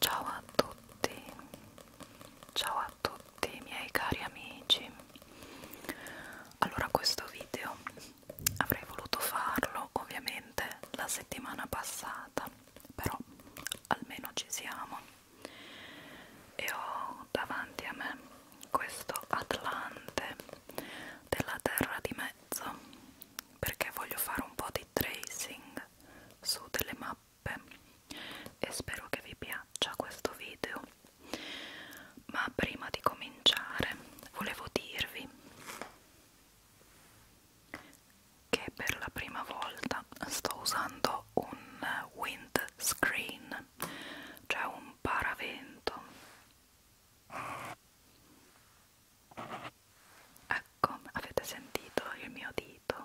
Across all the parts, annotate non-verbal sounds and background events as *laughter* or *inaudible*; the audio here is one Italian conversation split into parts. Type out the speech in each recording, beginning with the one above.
Ciao a tutti, ciao a tutti i miei cari amici. Allora questo video avrei voluto farlo ovviamente la settimana passata, però almeno ci siamo. E ho davanti a me questo Atlante della terra di mezzo perché voglio fare un po' di tracing su delle mappe e spero che vi piaccia questo video ma prima di cominciare volevo dirvi che per la prima volta sto usando un windscreen cioè un paravento Ecco, avete sentito il mio dito?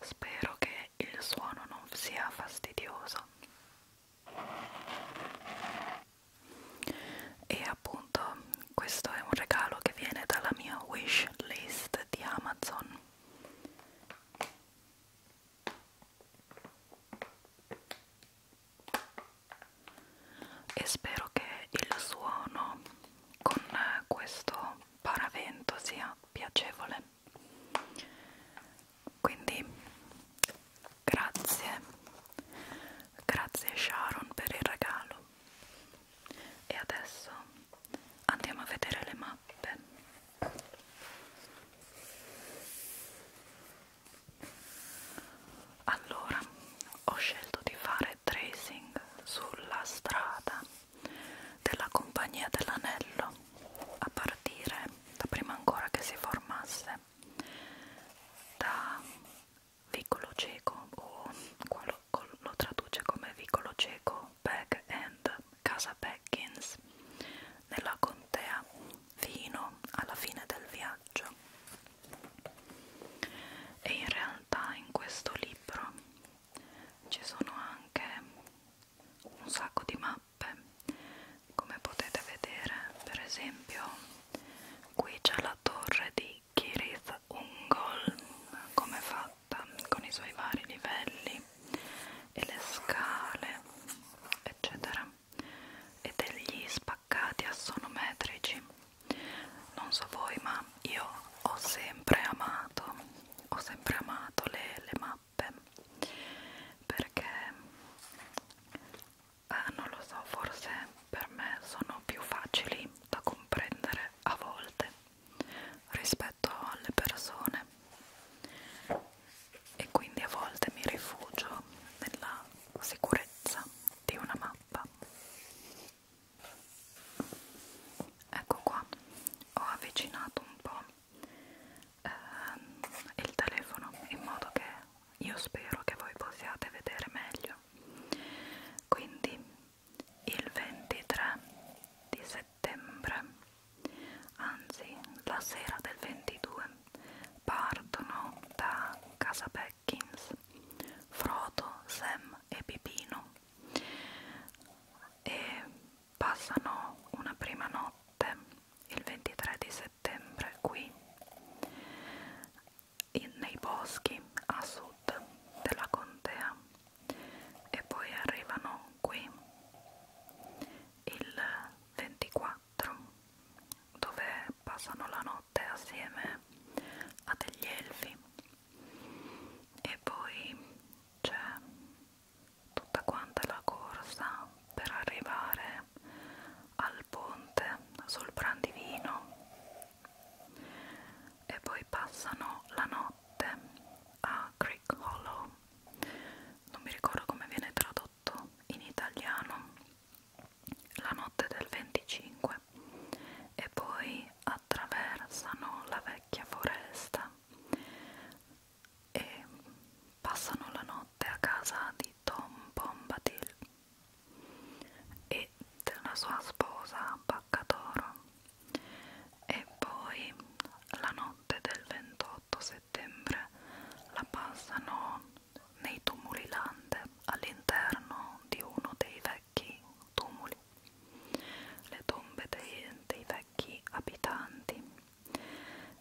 Spero che il suono non sia fastidioso. E appunto, questo è un regalo che viene dalla mia wish list di Amazon e spero che il suono con questo paravento sia piacevole quindi grazie grazie Sharon per il regalo e adesso andiamo a vedere le mappe allora ho scelto di fare tracing sulla strada della compagnia dell'anello a partire da prima ancora che si formasse da vicolo cieco o lo traduce come vicolo cieco back end casa Beckins nella contea fino alla fine del viaggio e in realtà in questo libro ci sono anche un sacco di mappe come potete vedere per esempio qui c'è la torre di Kirith Ungol come fatta con i suoi vari livelli e le scale eccetera e degli spaccati assonometrici non so voi ma io ho sempre amato ho sempre amato le, le mappe perché eh, non lo so forse per me sono più facili da comprendere a volte rispetto alle persone e quindi a volte mi rifugio nella sicurezza di una mappa. Ecco qua, ho avvicinato un po' ehm, il telefono in modo che io spero che voi possiate vedere meglio. Quindi il 23 di settembre settembre, anzi la sera del 22, partono da casa Beckins Frodo, Sam e Pipino e passano una prima notte il 23 di settembre qui in, nei boschi a sud della contea e poi arrivano qui il 24 dove passano la notte assieme a degli elfi e poi c'è tutta quanta la corsa per arrivare al ponte sul Brandivino e poi passano la notte a Creek Hollow non mi ricordo come viene tradotto in italiano, la notte del 25 e poi attraversano la vecchia foresta e passano la notte a casa di Tom Bombadil e della sua sposa Baccatoro e poi la notte del 28 settembre la passano nei tumuli lande all'interno di uno dei vecchi tumuli, le tombe dei, dei vecchi abitanti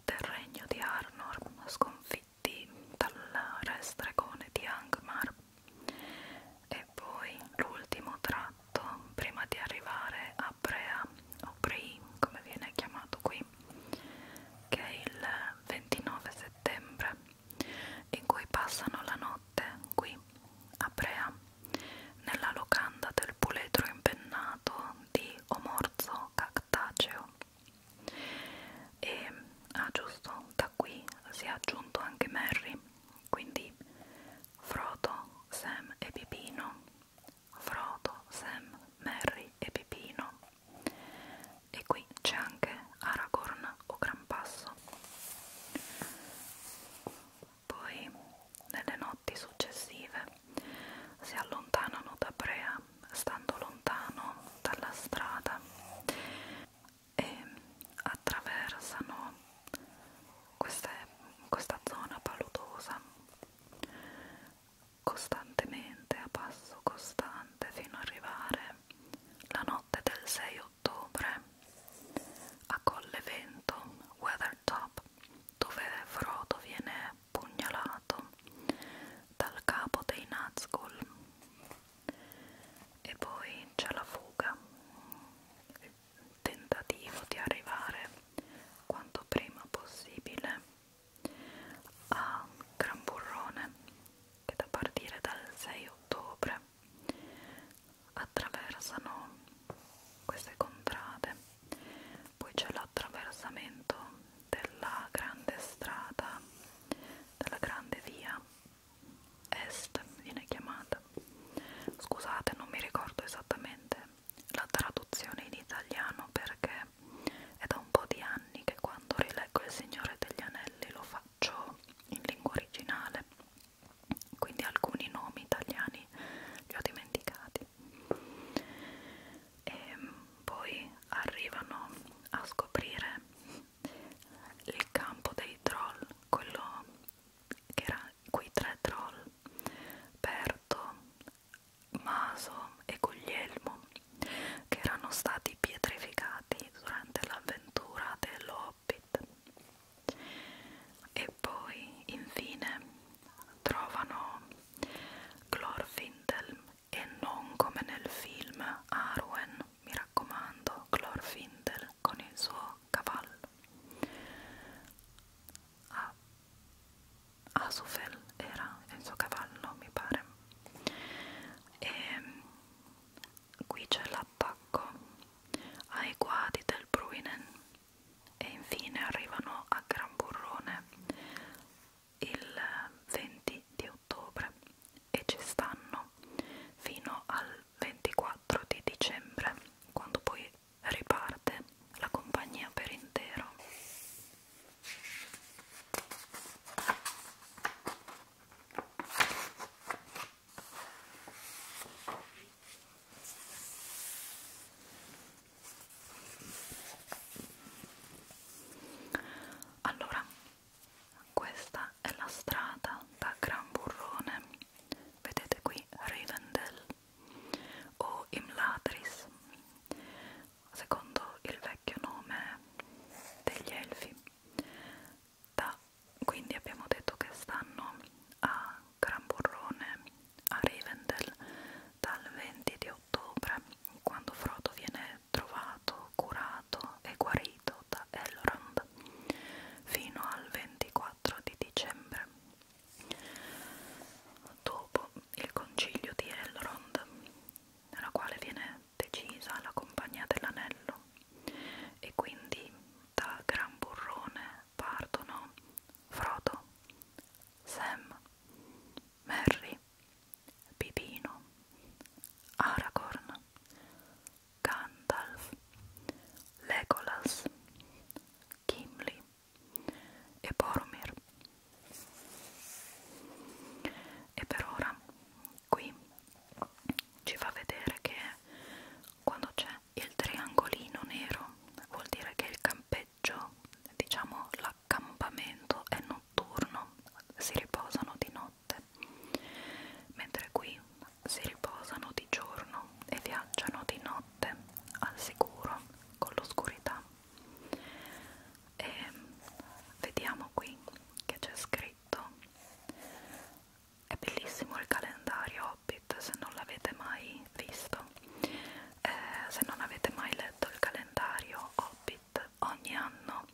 del regno di Arnor sconfitti dal re stregone di Angmar. E poi l'ultimo tratto prima di arrivare a a Brea o Brei come viene chiamato qui che è il 29 settembre in cui passano la notte qui a Brea nella locanda del puledro impennato di Omorzo Cactaceo e ah, giusto da qui si è aggiunto anche Merry quindi Frodo, Sam e Pipino Frodo, Sam, Merry e Pipino e qui c'è anche Aragorn o Grampasso poi nelle notti successive si allontanano da Brea stando lontano dalla strada e attraversano queste, questa zona paludosa costantemente, a passo costante, fino ad arrivare la notte del 6 ottobre a Colle Vento, Weathertop, dove Frodo viene pugnalato dal capo dei Nazgûl. E poi c'è la fuga, il tentativo di arrivare quanto prima possibile a Gran Burrone che da partire dal 6 ottobre attraversano queste contrade poi c'è l'attraversamento della grande strada della grande via est viene chiamata scusate non mi ricordo esattamente la traduzione in italiano perché è da un po' di anni che quando rileggo Il Signore degli Anelli lo faccio in lingua originale, quindi alcuni nomi italiani li ho dimenticati. E poi arrivano a scoprire il campo dei troll, quello che era quei tre troll, Berto, Maso e Guglielmo, che erano stati pietrificati durante l'avventura dell'Hobbit. E poi, infine, trovano Glorfindel e non come nel film Arwen, mi raccomando, Glorfindel con il suo cavallo. Ah, Asufel era il suo cavallo mi pare e ehm, qui c'è l'attacco ai guadi del Bruinen e infine arrivano a Gran Burrone il 20 di ottobre e ci stanno fino al 24 di dicembre quando poi riparte la compagnia per intero. Allora, questa è la strada da Gran Burrone. Vedete qui Rivendell o Imlatris, secondo il vecchio nome degli Elfi. Da, quindi abbiamo detto che stanno a Gran Burrone, a Rivendell, dal 20 di ottobre, quando Frodo viene trovato, curato e guarito da Elrond, fino al 24 di dicembre Dopo il concilio di Elrond, nella quale viene decisa la compagnia dell'anello, e quindi da Gran Burrone partono Frodo, Sam, Merry, Pipino, Aragorn, Gandalf, Legolas, Gimli e Boromir. E per ora qui ci fa vedere che quando c'è il triangolino nero vuol dire che il campeggio, diciamo l'accampamento è notturno, si riposano di notte, mentre qui si riposano di giorno e viaggiano di notte al sicuro con l'oscurità e vediamo qui che c'è scritto è bellissimo il calendario Hobbit se non l'avete mai visto eh, se non avete mai letto il calendario Hobbit ogni anno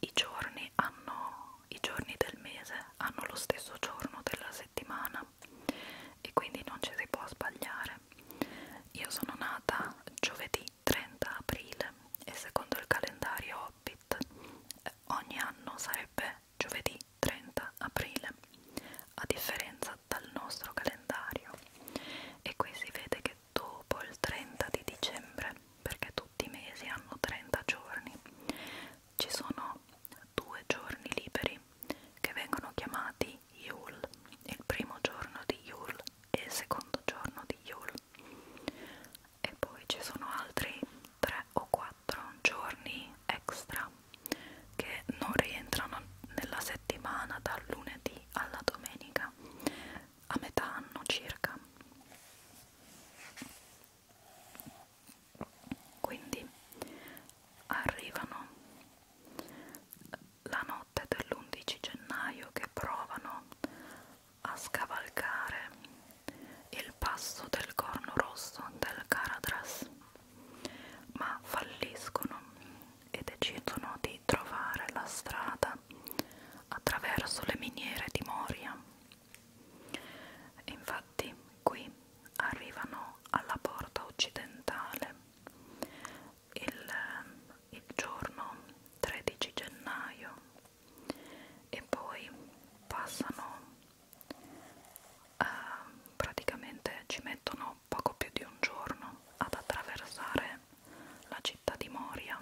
i giorni hanno i giorni del mese hanno lo stesso giorno della settimana vita e quindi non ci si può sbagliare. Io sono nata giovedì 30 aprile e secondo il calendario Hobbit eh, ogni anno sarebbe giovedì 30 aprile, a differenza dal nostro calendario. E qui si vede che dopo il 30 di dicembre, perché tutti i mesi hanno 30 giorni, ci sono due giorni liberi che vengono chiamati di Yule, il primo giorno di Yule e il secondo giorno di Yule e poi ci sono altri 3 o 4 giorni extra che non rientrano nella settimana dal lunedì alla domenica a metà anno circa quindi arrivano la notte dell'11 gennaio che provano a scavalcare il passo del corno rosso del Caradras, ma falliscono e decidono di trovare la strada attraverso le miniere di Moria. Infatti qui arrivano alla porta occidentale il, il giorno 13 gennaio e poi passano eh, praticamente ci mettono poco più di un giorno ad attraversare la città di Moria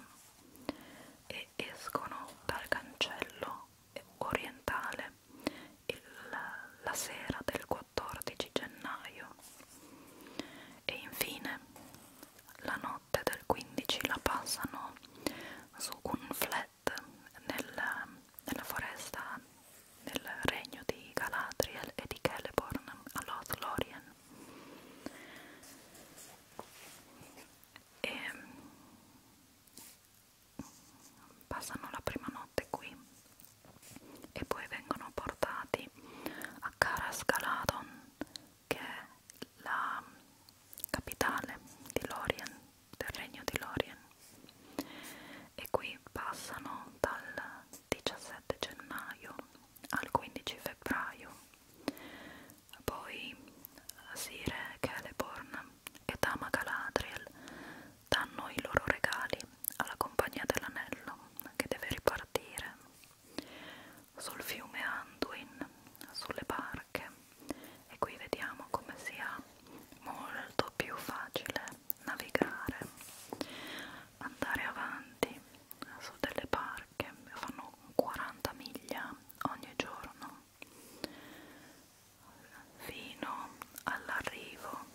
e escono dal cancello orientale il, la sera del 14 gennaio e infine la notte del 15 la passano su un flat nel, nella foresta nel regno di Galadriel e di Celeborn all'Oth Lorien e passano la prima notte qui e poi vengono portati a Karasgaladon che è la capitale di Lorien, del regno di Lorien e qui passano dal 17 gennaio al 15 febbraio poi Sire, Celeborn e Tama Galadriel danno i loro regali alla compagnia dell'anello che deve ripartire sul fiume Anduin, sulle barche e qui vediamo come sia molto più facile navigare, andare avanti su delle barche, fanno 40 miglia ogni giorno fino all'arrivo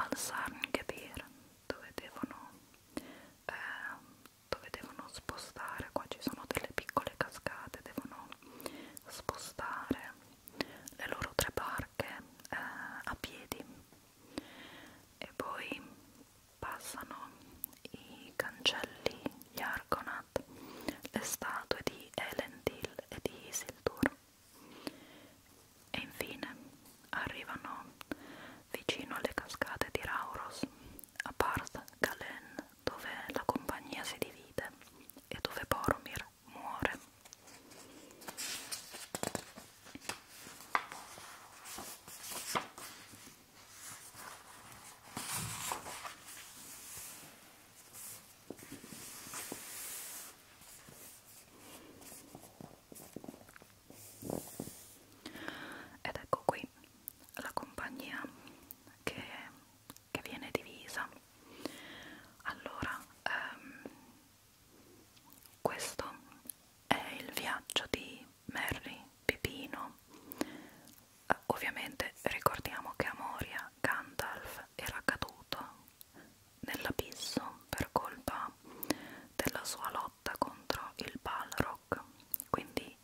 al Sarn Gebir dove devono eh, dove devono spostare qua ci sono delle piccole cascate devono spostare le loro tre barche eh, a piedi e poi passano i cancelli gli Argonath le statue di Elendil e di Isildur e infine arrivano vicino alle cascate di Rauros, a Parth Galen, dove la compagnia si divide e dove Boromir muore. Ed ecco qui la compagnia che, che viene divisa. Allora, ehm, questo è il viaggio di Merry Pipino. Eh, ovviamente ricordiamo che Amoria, Gandalf era caduto nell'abisso per colpa della sua lotta contro il Balrog. Quindi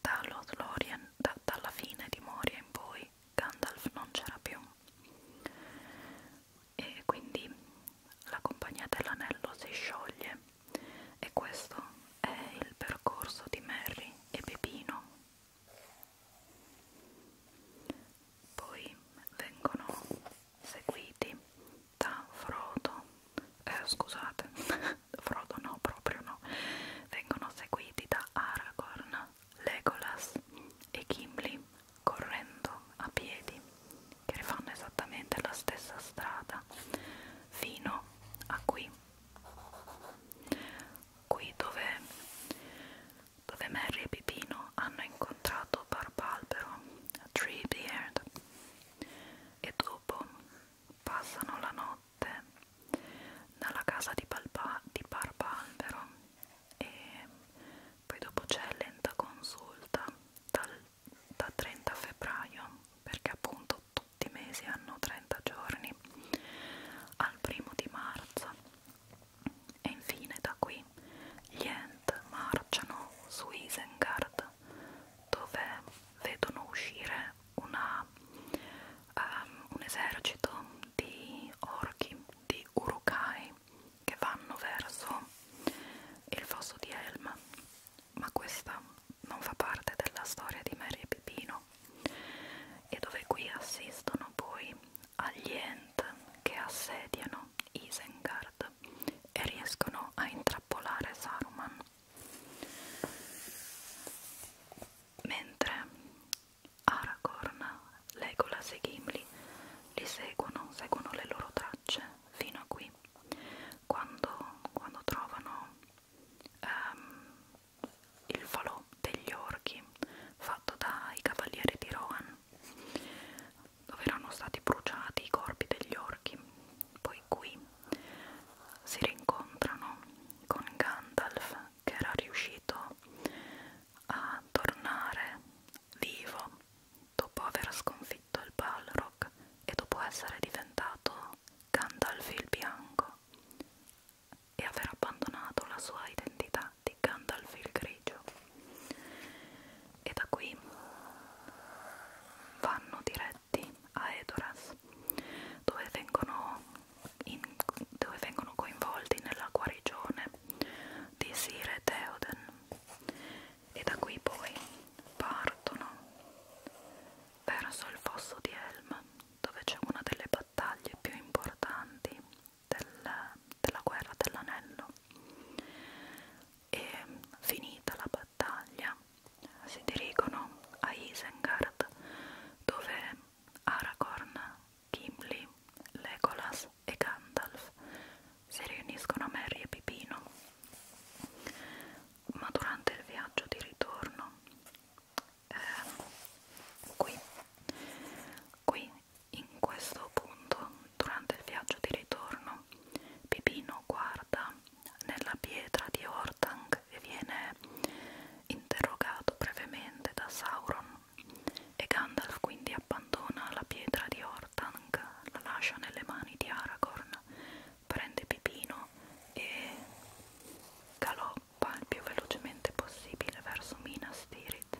da Lothlorien, da, dalla fine di Moria in poi, Gandalf non c'era più. E quindi la compagnia dell'anello si scioglie e questo è il percorso di Merry e Pepino poi vengono seguiti da Frodo, eh, scusate, *laughs* Frodo no, proprio no, vengono seguiti da Aragorn, Legolas e Gimli correndo a piedi che rifanno esattamente la stessa strada fino a qui qui dove dove Mary e Pipino hanno incontrato Barbalbero, Treebeard, e dopo passano la notte nella casa di, Balba, di Barbalbero e poi dopo c'è lenta consulta dal, da 30 febbraio perché appunto tutti i mesi hanno 30 giorni al primo di marzo e infine da qui gli Ent marciano su Isengard dove vedono uscire una, um, un esercito di orchi, di urukai che vanno verso il fosso di Helm ma questa non fa parte della storia di Mary e Pipino e dove qui assistono poi agli Ent che assediano Isengard e riescono a intrappolare Saruman. Mentre Aragorn, Legolas e Gimli li seguono, seguono le loro tracce fino a qui. Quando, quando trovano ehm, il falò degli orchi fatto dai cavalieri di Rohan dove erano stati bruciati i corpi degli orchi. Poi qui si rincontrano con Gandalf che era riuscito a tornare vivo dopo aver sconfitto il Balrog e dopo essere diventato Gandalf il Bianco e aver abbandonato la sua identità musica di Gandalf il Grigio e da qui vanno diretti a Edoras dove vengono, in, dove vengono coinvolti nella guarigione di Sire Theoden e da qui poi partono verso il fosso di Helm dove c'è una delle battaglie più importanti del, della guerra dell'anello e finita la battaglia si dirigono a Isengard dove Aragorn, Gimli, Legolas e Gandalf si riuniscono a Merry e Pipino ma durante il viaggio di ritorno eh, qui Qui, in questo punto, durante il viaggio di ritorno, Pipino guarda nella pietra di Ortang e viene interrogato brevemente da Sauron e Gandalf quindi abbandona la pietra di Ortang, la lascia nelle mani di Aragorn, prende Pipino e galoppa il più velocemente possibile verso Minas Tirith.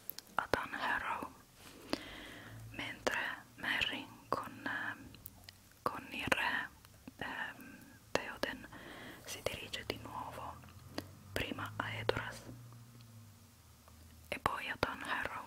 ad Anne Harrow mentre Merry con, eh, con il re ehm, Theoden si dirige di nuovo prima a Edoras e poi ad Anne Harrow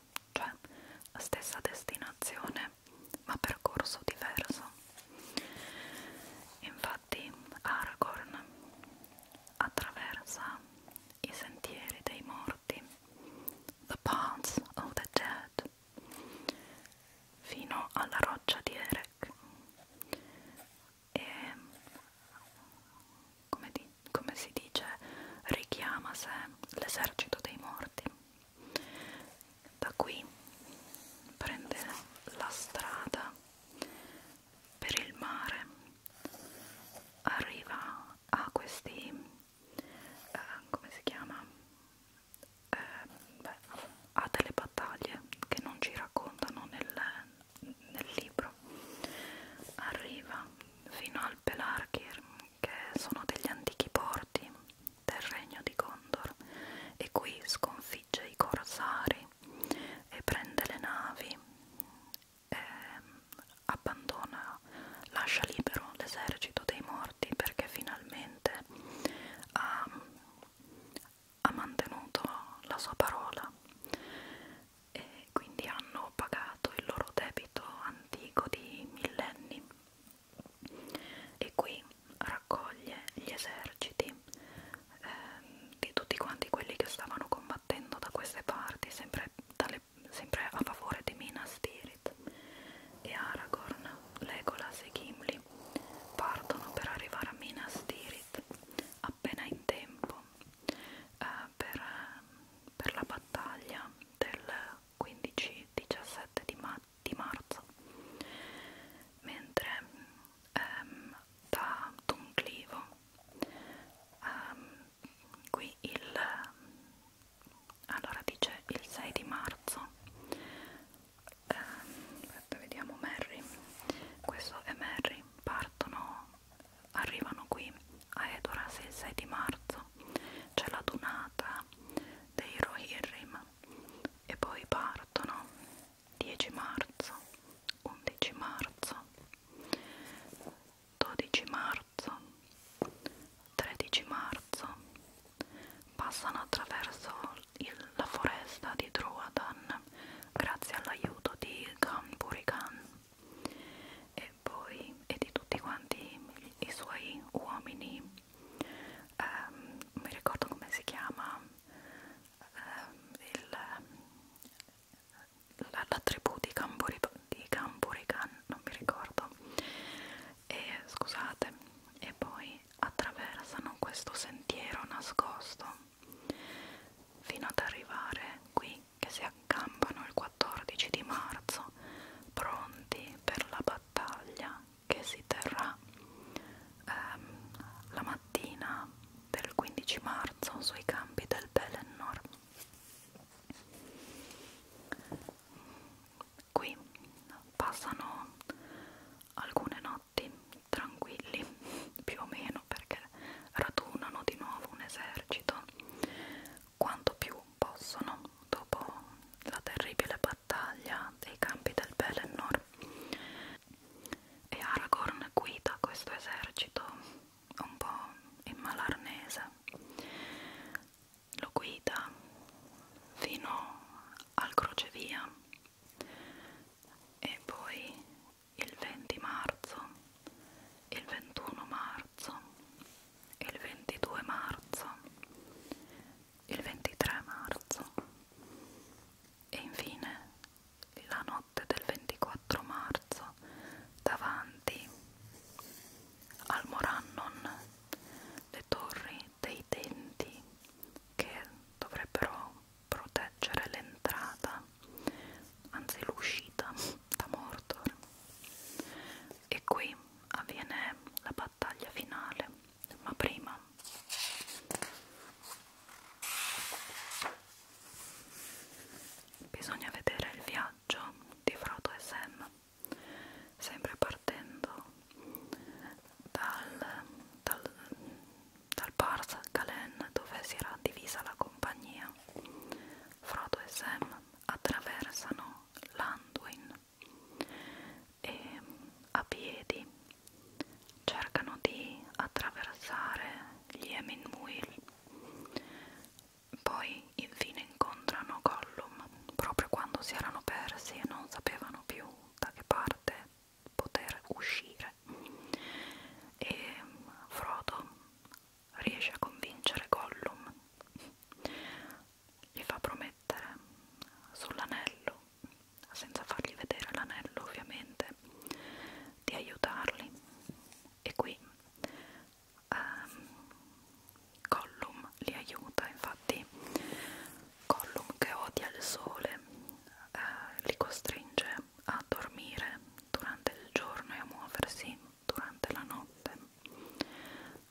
Budapest, cioè stessa destinazione ma percorso diverso. Infatti Aragorn attraversa i sentieri dei morti, the paths of the dead, fino alla roccia di Erech e come, di, come si dice richiama sé l'esercito dei morti da qui prende la strada per il mare arriva a questi eh, come si chiama eh, beh, a delle battaglie che non ci raccontano nel, nel libro arriva fino a Alpelargir, che sono degli antichi porti del regno di Gondor, e qui sconfigge i corsari e prende le navi, e ehm, abbandona, lascia libero l'esercito dei morti perché finalmente ha, ha mantenuto la sua parola e quindi hanno pagato il loro debito antico di millenni e qui raccoglie gli eserciti eh, di tutti quanti quelli che stavano combattendo da queste parti, sempre, dalle, sempre a favore di Minas Tirith e Aragorn, Legolas e Gimli partono per arrivare a Minas Tirith appena in tempo eh, per, per la battaglia del 15-17 di, ma di marzo mentre ehm, da Dunclivo ehm, qui il allora dice il 6 di marzo ehm, aspetta vediamo Mary questo è Mary partono arrivano qui a Edoras il 6 di marzo c'è la donata dei Rohirrim e poi partono 10 marzo, 11 marzo, 12 marzo, 13 marzo, passano attraverso il, la foresta di Druadan grazie all'aiuto di Gan Burigan e poi e di tutti quanti i suoi uomini um, mi ricordo come si chiama um, il, la, la tribù di Campurican non mi ricordo e scusate e poi attraversano questo sentiero nascosto fino ad arrivare qui che si accampano il 14 di marzo pronti per la battaglia battaglia che si terrà ehm, la mattina del 15 marzo sui campi del Pelennor. Qui passano alcune notti tranquilli, più o meno, perché radunano di nuovo un esercito quanto più possono dopo la terribile battaglia dei campi del Pelennor e Aragorn guida questo esercito un po' in malarnese lo guida fino al crocevia e poi il 20 marzo, il 21 marzo il 22 marzo, il 23 marzo e infine la notte del 24 marzo davanti al Morannon le torri dei denti che dovrebbero proteggere l'entrata anzi l'uscita da Mordor e qui avviene la battaglia finale, ma prima bisogna vedere il viaggio di Frodo e Sam, sempre partendo dal, dal, dal Pars Galen dove si era divisa la compagnia. Frodo e Sam attraversano Landwin e a piedi cercano di attraversare gli Emin Muil poi infine incontrano Gollum proprio quando si erano persi e non sapevano più da che parte poter uscire e Frodo riesce a convincere Gollum gli fa promettere sull'anello, senza fargli vedere l'anello ovviamente, di aiutarli. E qui ehm, Gollum li aiuta, infatti Gollum che odia il sole eh, li costringe a dormire durante il giorno e a muoversi durante la notte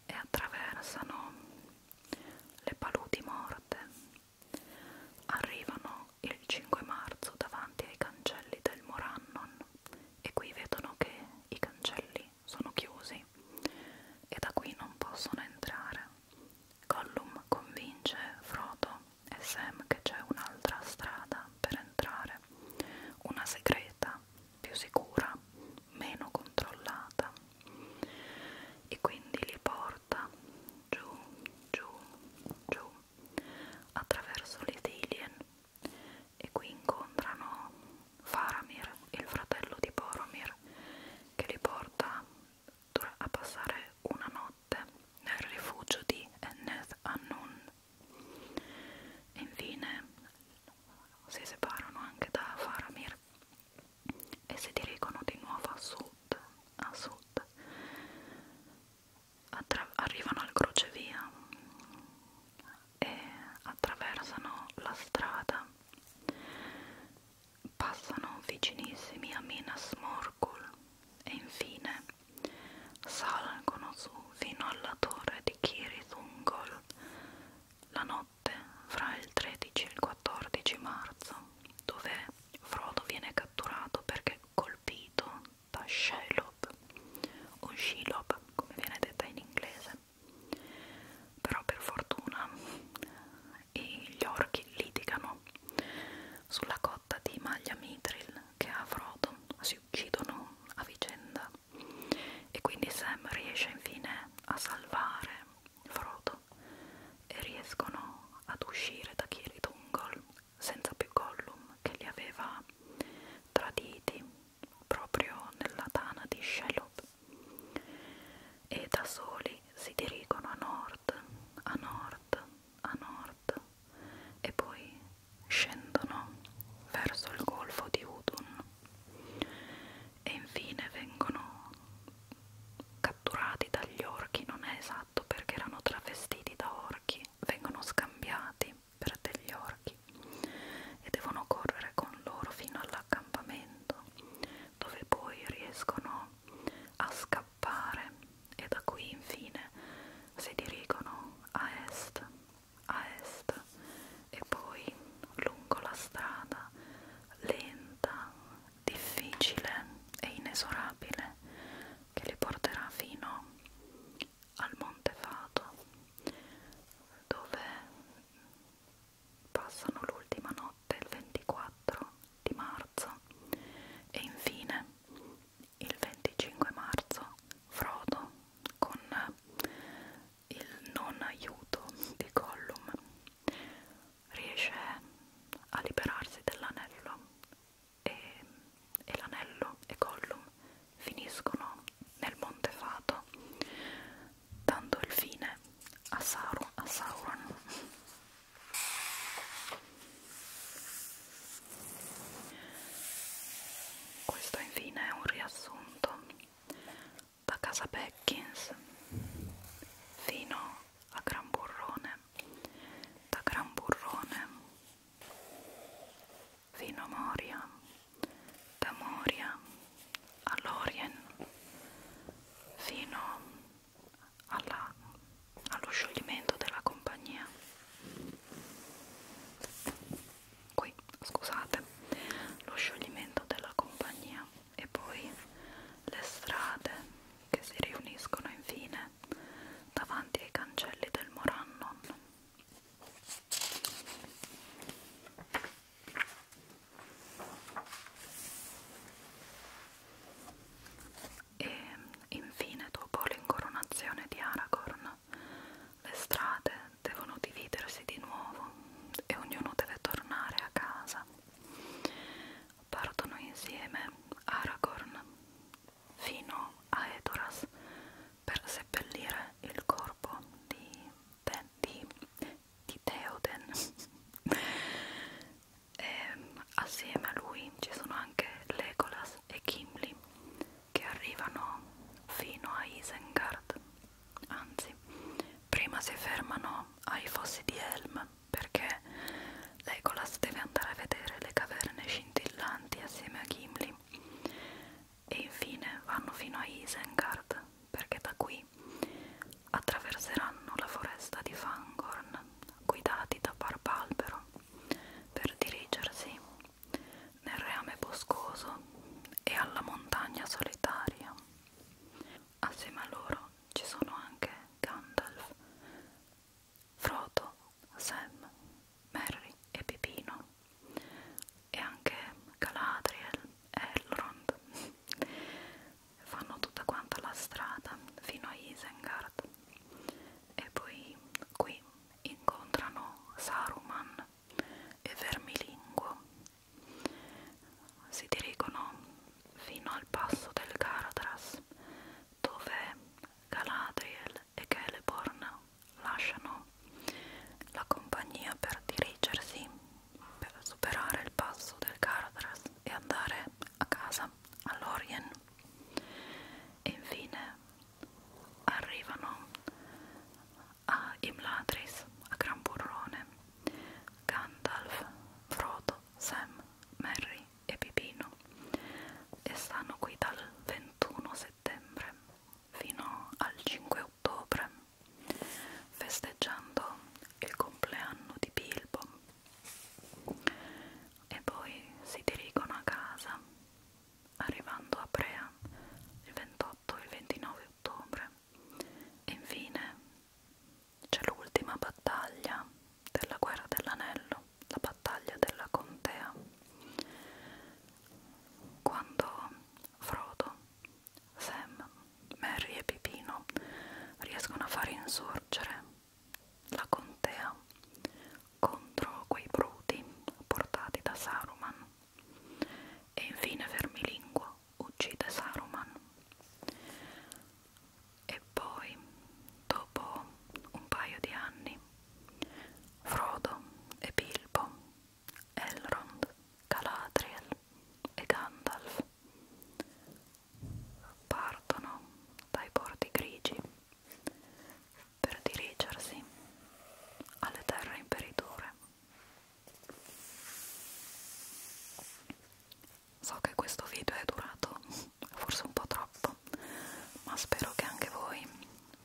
e attraversano le paludi morte. Arrivano il 5 marzo davanti ai cancelli del Morannon e qui vedono che i cancelli sono chiusi e da qui non possono entrare. Gollum convince Frodo e Sam che c'è un'altra strada per entrare, una segreta più sicura, meno controllata e quindi li porta giù, giù, giù attraverso le Dilien e qui incontrano Faramir, il fratello di Boromir, che li porta a passare una notte nel rifugio di Enneth Annun. E infine si separano anche da Faramir e si dirigono di nuovo a sud, a sud. Attra arrivano al crocevia e attraversano la strada, passano vicinissimi a Minas Morgul e infine salgono su fino alla torre di Kirithungol. La notte notte fra il 13 e il 14 marzo, dove Frodo viene catturato perché colpito da Shelob o Shelob come viene detta in inglese. Però per fortuna gli orchi litigano sulla cotta di Maglia Mithril che ha Frodo, si uccidono a vicenda vita e quindi Sam riesce infine a salvare Frodo e riescono ad uscire da Kiri Dungol senza più Gollum che li aveva traditi proprio nella tana di Shelob e da soli si dirigono a nord, a nord, a nord e poi scendono verso il golfo di Udun e infine vengono catturati dagli orchi, non è esatto perché erano travestiti da orchi, vengono scambiati per degli orchi e devono correre con loro fino all'accampamento dove poi riescono a scappare e da qui infine si dirigono a est a est e poi lungo la strada lenta, difficile e inesorabile che li porterà fino al Monte Fato dove passano l'ultima notte il 24 di marzo e infine il 25 marzo Frodo con il non aiuto di Gollum riesce a liberarsi dell'anello e, e l'anello e Gollum finiscono nel Monte Fato dando il fine a, Saru, a Sauron questo infine è un riassunto da casa Beckins fino a Gran Burrone, da Gran Burrone fino a Moria, da Moria a Lorien fino alla, allo scioglimento della compagnia qui, scusate, lo scioglimento della compagnia e poi le strade che si riuniscono infine davanti ai cancelli del Morannon. E infine, dopo l'incoronazione di Aragorn, le strade devono dividersi di nuovo e ognuno deve tornare a casa. Partono insieme Aragorn fino a Edoras per seppellire il corpo di, Te di, di Theoden *laughs* e assieme a lui ci sono anche Legolas e Gimli che arrivano fino a Isengard anzi prima si fermano ai fossi di Helm perché Legolas deve andare a vedere le caverne scintillanti assieme a Gimli e infine vanno fino a Isengard perché da qui attraverseranno la foresta di Fangorn guidati da Barbalbero per dirigersi nel reame boscoso e alla montagna solitaria. Assieme a loro ci sono anche Gandalf, Frodo, Sam, Merry e Pipino e anche Galadriel e Elrond. Fanno tutta quanta la strada fino a Isengard e poi qui incontrano Saruman e Vermilinguo si dirigono fino al passo del Caradras dove Galadriel e Celeborn lasciano la compagnia per dirigersi per superare il passo del Caradras e andare a casa all'Orien e infine arrivano a Imlatris, a Gran Burrone, Gandalf, Frodo, Sam, Merry e Pipino e stanno qui dal 21 settembre fino al 5 ottobre festeggiando il compleanno di Bilbo e poi si dirigono a casa arrivando a Prea il 28, il 29, ottobre e infine c'è l'ultima battaglia della guerra dell'anello la battaglia della contea quando Frodo, Sam, Merry e Pipino riescono a far insorgere la contea contro quei bruti portati da Saruman e infine Vermilinguo uccide Saruman e poi dopo un paio di anni Frodo e Bilbo, Elrond, Galadriel e Gandalf partono dai porti grigi per dirigersi alle terre imperiture So che questo video è durato forse un po' troppo, ma spero che anche voi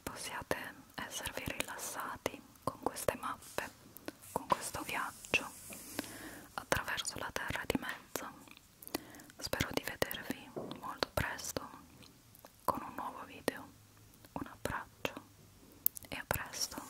possiate esservi rilassati con queste mappe, con questo viaggio attraverso la terra di mezzo. Spero di vedervi molto presto con un nuovo video un abbraccio e a presto.